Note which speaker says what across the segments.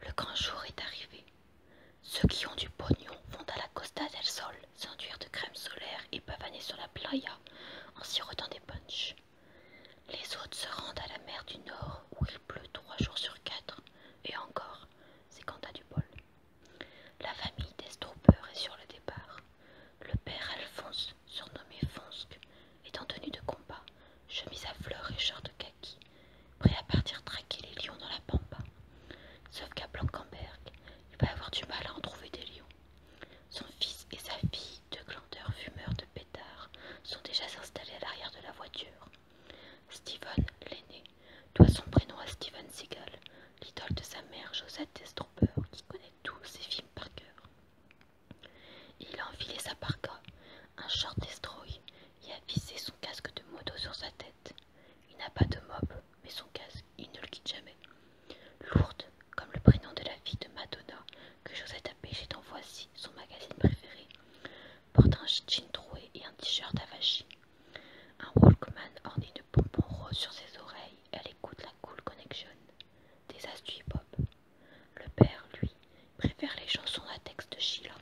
Speaker 1: Le grand jour est arrivé. Ceux qui ont du pognon vont à la Costa del Sol s'enduire de crème solaire et pavaner sur la playa en sirotant des punchs. Les autres se rendent à la mer du Nord où il pleut trois jours sur quatre, et encore, c'est quand du bol. La famille des est sur le départ. Le père Alphonse, surnommé Fonsque, est en tenue de combat, chemise à fleurs et short de prêt à partir traquer les lions dans la pampa. Sauf qu'à Blankenberg, il va avoir du mal à en trouver des lions. Son fils et sa fille, deux glandeurs fumeurs de pétards, sont déjà installés à l'arrière de la voiture. Steven, l'aîné, doit son prénom à Steven Seagal, l'idole de sa mère Josette Destropper, qui connaît tous ses films par cœur. Il a enfilé sa parka, un short destroy, et a vissé son casque de moto sur sa tête. Il n'a pas de mob, mais son casque, il ne le quitte jamais. Lourde, comme le prénom de la fille de Madonna, que Josette a pêché Voici, son magazine préféré, porte un jean troué et un t-shirt avachi. Un Walkman orné de pompons roses sur ses oreilles, elle écoute la Cool Connection, des astuces pop. Le père, lui, préfère les chansons à texte de Sheila.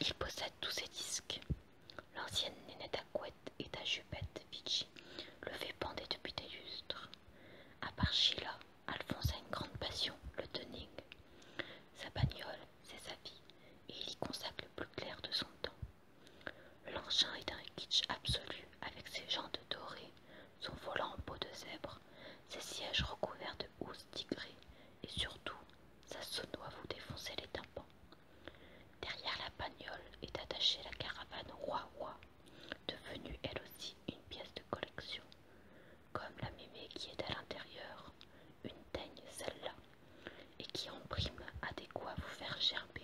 Speaker 1: Il possède tous ses disques. L'ancienne nénette à et à jupette Vichy le fait bander depuis des lustres. À part Sheila, Alphonse a une grande passion, le tuning. Sa bagnole, c'est sa vie, et il y consacre le plus clair de son temps. L'engin est un kitsch absolu avec ses jantes dorées son volant en peau de zèbre, ses sièges recouverts de housses tigrées, et surtout, sa sono vous défonçait les tympans. Derrière la bagnole est attachée la caravane roi roi, devenue elle aussi une pièce de collection. Comme la mémé qui est à l'intérieur, une teigne celle-là, et qui en prime adéquat vous faire gerber.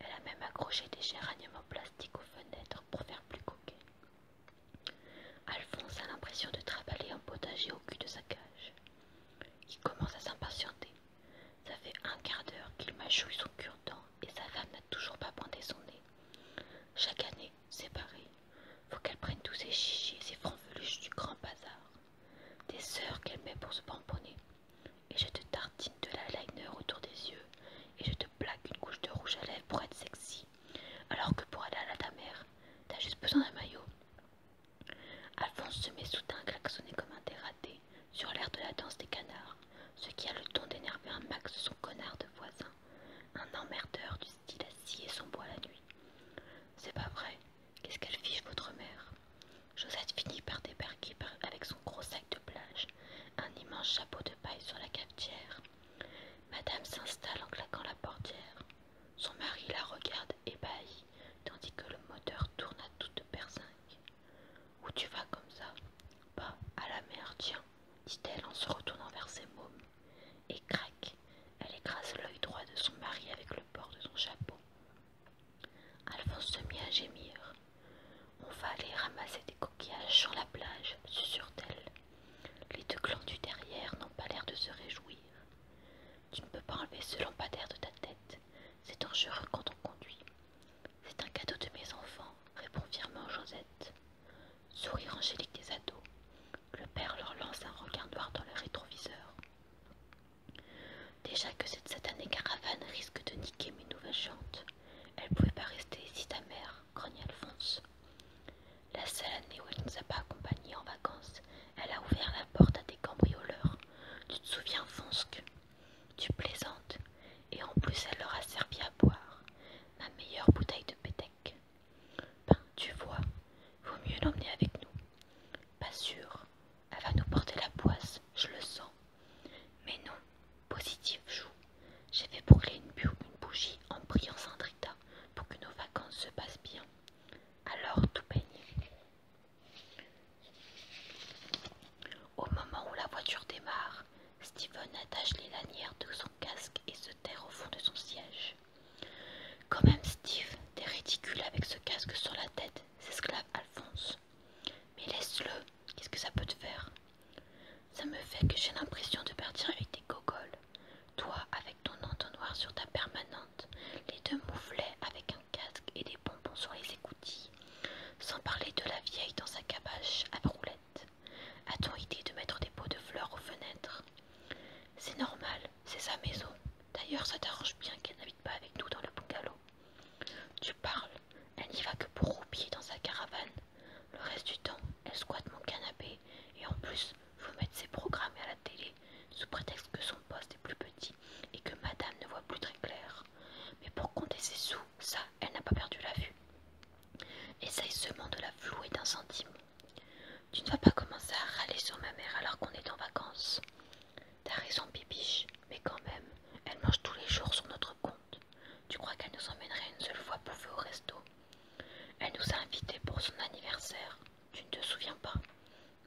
Speaker 1: Elle a même accroché des géraniums en plastique aux fenêtres pour faire plus coquet. Alphonse a l'impression de travailler en potager au cul de sa cage. Il commence à s'impatienter. Ça fait un quart d'heure qu'il mâchouille son cure-dent et sa femme n'a toujours pas pointé son nez. Chaque année, c'est pareil. Faut qu'elle prenne tous ses chichis et ses franveluches du grand bazar. Des sœurs qu'elle met pour se pomponner. Et je te tartine de la liner autour des yeux. Et je te plaque une couche de rouge à lèvres pour être sexy. Alors que pour aller à la ta mère, t'as juste besoin d'un maillot. Alphonse se met soudain à klaxonner comme un dératé sur l'air de la danse des canards, ce qui a le ton d'énerver un max son connard de voisin, un emmerdeur du style à scier son bois la nuit. C'est pas vrai, qu'est-ce qu'elle fiche votre mère Josette finit par débarquer avec son gros sac de plage, un immense chapeau de paille sur la cafetière. Madame s'installe en claquant la portière. Son mari la regarde ébahi, tandis que le moteur tourne à toute berzingue. Où tu vas comme ça Bah, à la mer, tiens, dit-elle en se retournant vers ses mômes. Et crac, elle écrase l'œil droit de son mari avec le bord de son chapeau. Alphonse se mit à gémir. On va aller ramasser des coquillages sur la plage, susurre-t-elle. Les deux du derrière n'ont pas l'air de se réjouir. Tu ne peux pas enlever ce lampadaire de ta tête. C'est dangereux quand on conduit. C'est un cadeau de mes enfants, répond fièrement Josette. Sourire angélique des ados. Le père leur lance un regard noir dans le rétroviseur. Déjà que cette satanée caravane risque de niquer mes nouvelles chantes, Elle ne pouvait pas rester ici ta mère, grogna Alphonse. La seule année où elle nous a pas accompagnés en vacances, elle a ouvert la porte à des cambrioleurs. Tu te souviens, Fonsk Tu plaisantes. Et en plus, elle leur a servi à boire. Ma meilleure bouteille de pétec. Ben, tu vois, vaut mieux l'emmener avec nous. Pas sûr. Elle va nous porter la boisse, je le sens. Mais non, positive joue. J'ai fait brûler une, une bougie en priant Saint pour que nos vacances se passent bien. Alors tout baigne. Au moment où la voiture démarre, Steven attache les lanières de son casque et se terre au fond de son siège. Quand même, Steve, t'es ridicule avec ce casque sur la tête, s'esclave Alphonse. Mais laisse-le, qu'est-ce que ça peut te faire Ça me fait que j'ai l'impression de partir avec des gogoles. Toi, avec ton entonnoir sur ta permanente, les deux mouflets avec un casque et des bonbons sur les écoutilles, sans parler de la vieille dans sa cabache à roulettes. A-t-on idée de mettre des pots de fleurs aux fenêtres C'est normal, c'est sa maison. D'ailleurs, ça t'arrange bien qu'elle n'habite pas avec nous dans le bungalow. Tu parles, elle n'y va que pour roupiller dans sa caravane. Le reste du temps, elle squatte mon canapé et en plus vous mettre ses programmes à la télé sous prétexte que son poste est plus petit et que madame ne voit plus très clair. Mais pour compter ses sous, ça, elle n'a pas perdu la vue. Essaye seulement de la flouer d'un centime. Tu ne vas pas commencer à râler sur ma mère alors qu'on est en vacances. T'as raison, Bibiche, mais quand même, elle mange tous les jours sur notre compte. Tu crois qu'elle nous emmènerait une seule fois faire au resto Elle nous a invités pour son anniversaire. Tu ne te souviens pas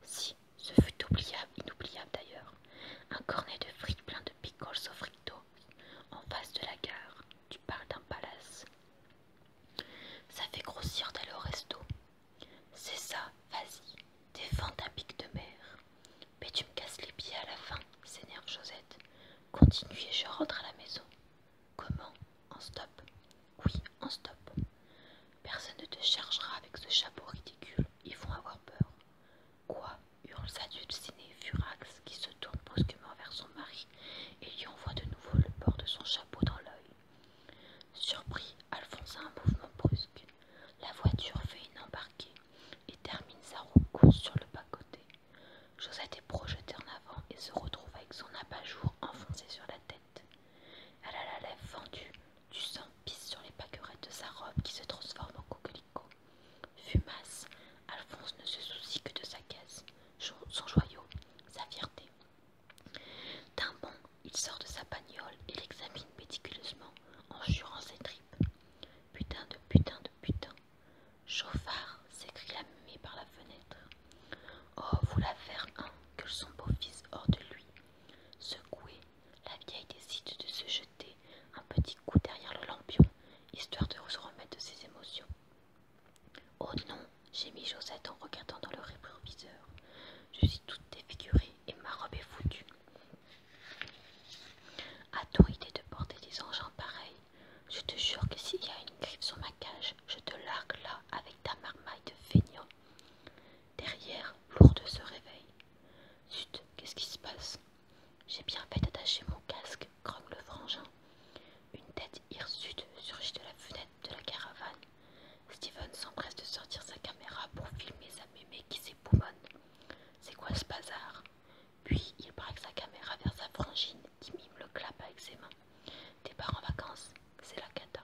Speaker 1: Si, ce fut oubliable, inoubliable d'ailleurs. Un cornet de frites plein de pickles au frito, en face de la gare. Tu parles d'un palace. Ça fait grossir d'aller au resto. C'est ça, vas-y, défends ta pique de mer. Mais tu me casses les pieds à la fin, s'énerve Josette. Continue je rentre à la maison. Comment En stop Oui, en stop. Personne ne te chargera avec ce chapeau ridicule, ils vont avoir peur. Quoi hurle Sadulcinée Furax qui se tourne brusquement vers son mari et lui envoie de nouveau le bord de son chapeau dans l'œil. Surpris, Alphonse a un mouvement brusque. La voiture fait une embarquée et termine sa course sur le bas-côté. Josette est projetée en avant et se retrouve avec son abat-jour enfoncé sur la tête. Elle a la lèvre fendue, du sang pisse sur les paquerettes de sa robe qui se transforme en coquelicot. Fumasse, Alphonse ne se soucie que de sa caisse, son joyau, sa fierté. D'un bond, il sort de sa bagnole et l'examine méticuleusement en jurant ses tripes. Putain de putain de putain. Chauffard, s'écrie la par la fenêtre. Oh, vous la faire un, que son beau-fils hors de lui. secoué la vieille décide de se jeter un petit coup derrière le lampion, histoire de se remettre de ses émotions. Oh non, gémit Josette en regardant dans le réproviseur. « Je suis toute défigurée et ma robe est foutue. A-t-on idée de porter des engins pareils Je te jure que s'il y a une griffe sur ma cage, je te largue là avec ta marmaille de feignant. Derrière, Lourde se réveille. Zut, qu'est-ce qui se passe J'ai bien fait d'attacher mon casque, grogne le frangin. Une tête Hirsud surgit de la fenêtre de la caravane. Steven s'empresse de sortir sa caméra pour filmer sa mémé qui s'époumonne. C'est quoi ce bazar Puis il braque sa caméra vers sa frangine qui mime le clap avec ses mains. Départ en vacances, c'est la cata.